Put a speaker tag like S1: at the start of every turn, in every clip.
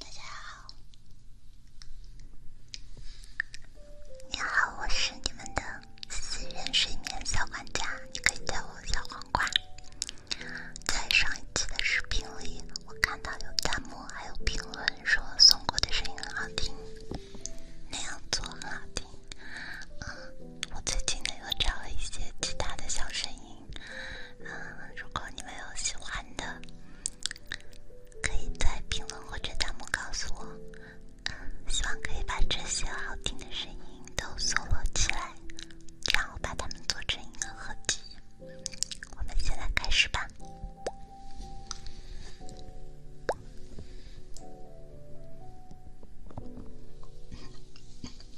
S1: 大家好，你好，我是你们的私人睡眠小管家，你可以叫我小黄瓜。在上一期的视频里，我看到有弹幕还有评论说松果的声音很好听，那样做很好听。嗯，我最近呢又找了一些其他的小声音。嗯，如果你们有喜欢的，可以在评论或者弹幕告诉我。嗯，希望可以把这些好听的声音都收录起来，然后把它们做成一个合集。我们现在开始吧。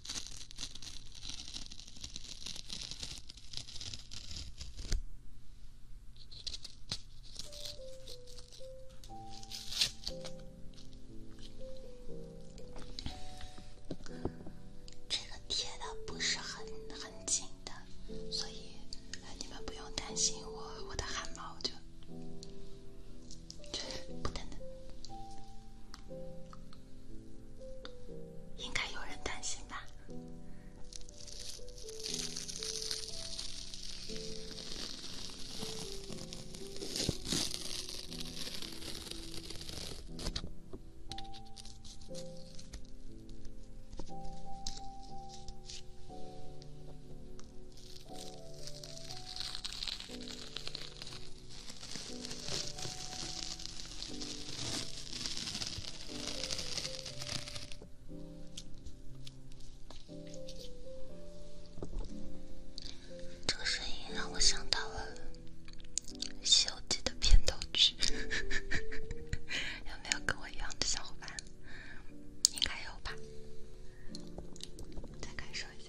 S1: 这个贴的不是很很紧的，所以你们不用担心我我的汗毛就不疼。应该有人担心吧。这个声音让我想到了《西游记》的片头曲，有没有跟我一样的小伙伴？应该有吧？再感受一下。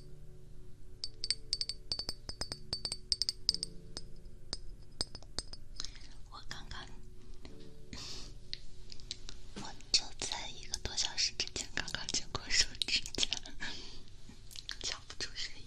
S1: 我刚刚，我就在一个多小时之前刚刚剪过手指甲，叫不出声音。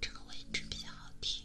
S1: 这个位置比较好听。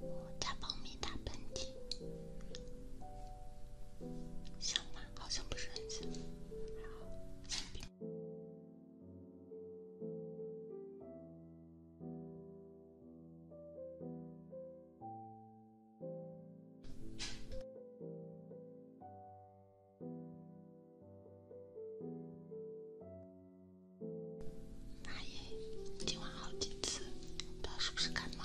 S1: 我打猫咪打喷嚏，像吗？好像不是很像，还好。妈耶，今晚好几次，不知道是不是感冒。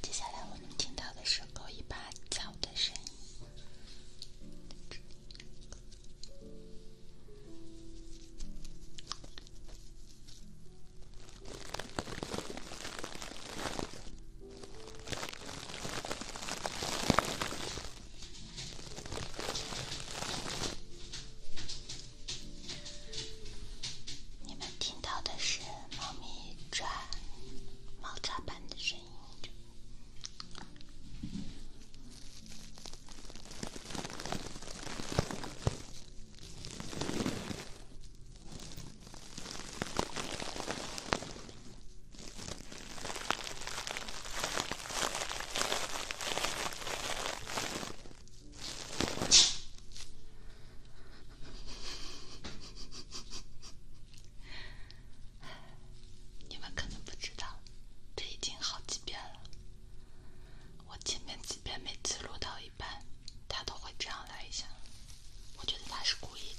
S1: 接下来我们听到的是割一把草的声音。你们听到的是猫咪转猫爪板的声音。你们可能不知道，这已经好几遍了。我前面几遍每次录到一半，他都会这样来一下。我觉得他是故意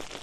S1: 的。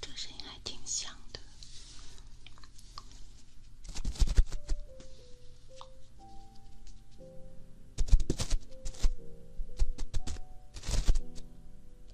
S1: 这声音还挺响的。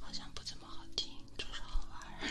S1: 好像不怎么好听，就是好玩。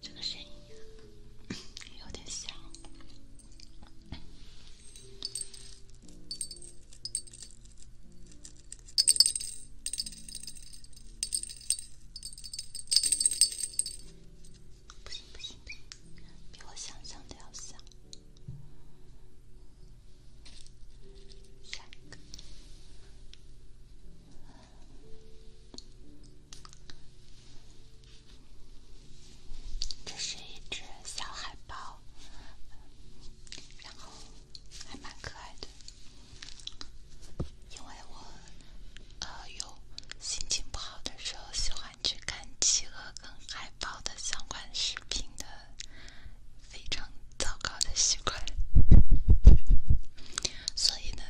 S1: 这个声音有点像，不行不行比我想象的要像。这是一只小海豹，然后还蛮可爱的。因为我呃有心情不好的时候，喜欢去看企鹅跟海豹的相关视频的。非常糟糕的习惯，所以呢，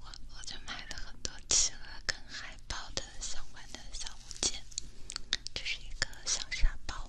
S1: 我我就买了很多企鹅跟海豹的相关的小物件，这是一个小沙包。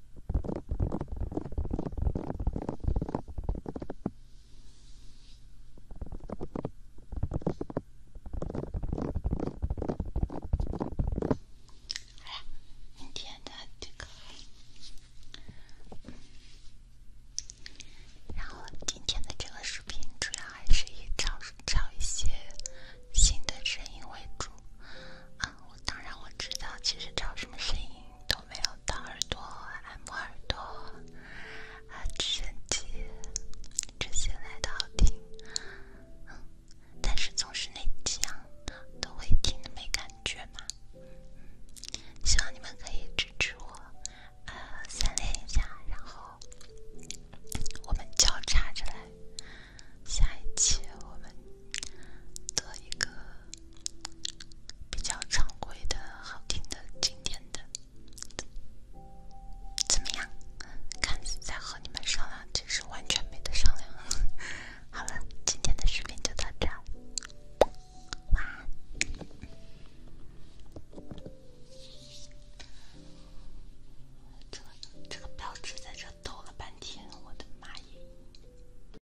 S1: 好了，今天的这个，然后今天的这个视频主要还是以找找一些新的声音为主啊。我当然我知道，其实找什么声音都没有，当耳朵按摩耳朵啊，直升机这些来的好听，但是总是那几样都会听的没感觉嘛。希望你们可以支持我，呃，三连一下，然后我们交叉着来，下一期我们做一个。比较常规的、好听的、经典的，怎么样？看似在和你们商量，其实完全没得商量。好了，今天的视频就到这，晚安。这这个标志在这抖了半天，我的妈耶！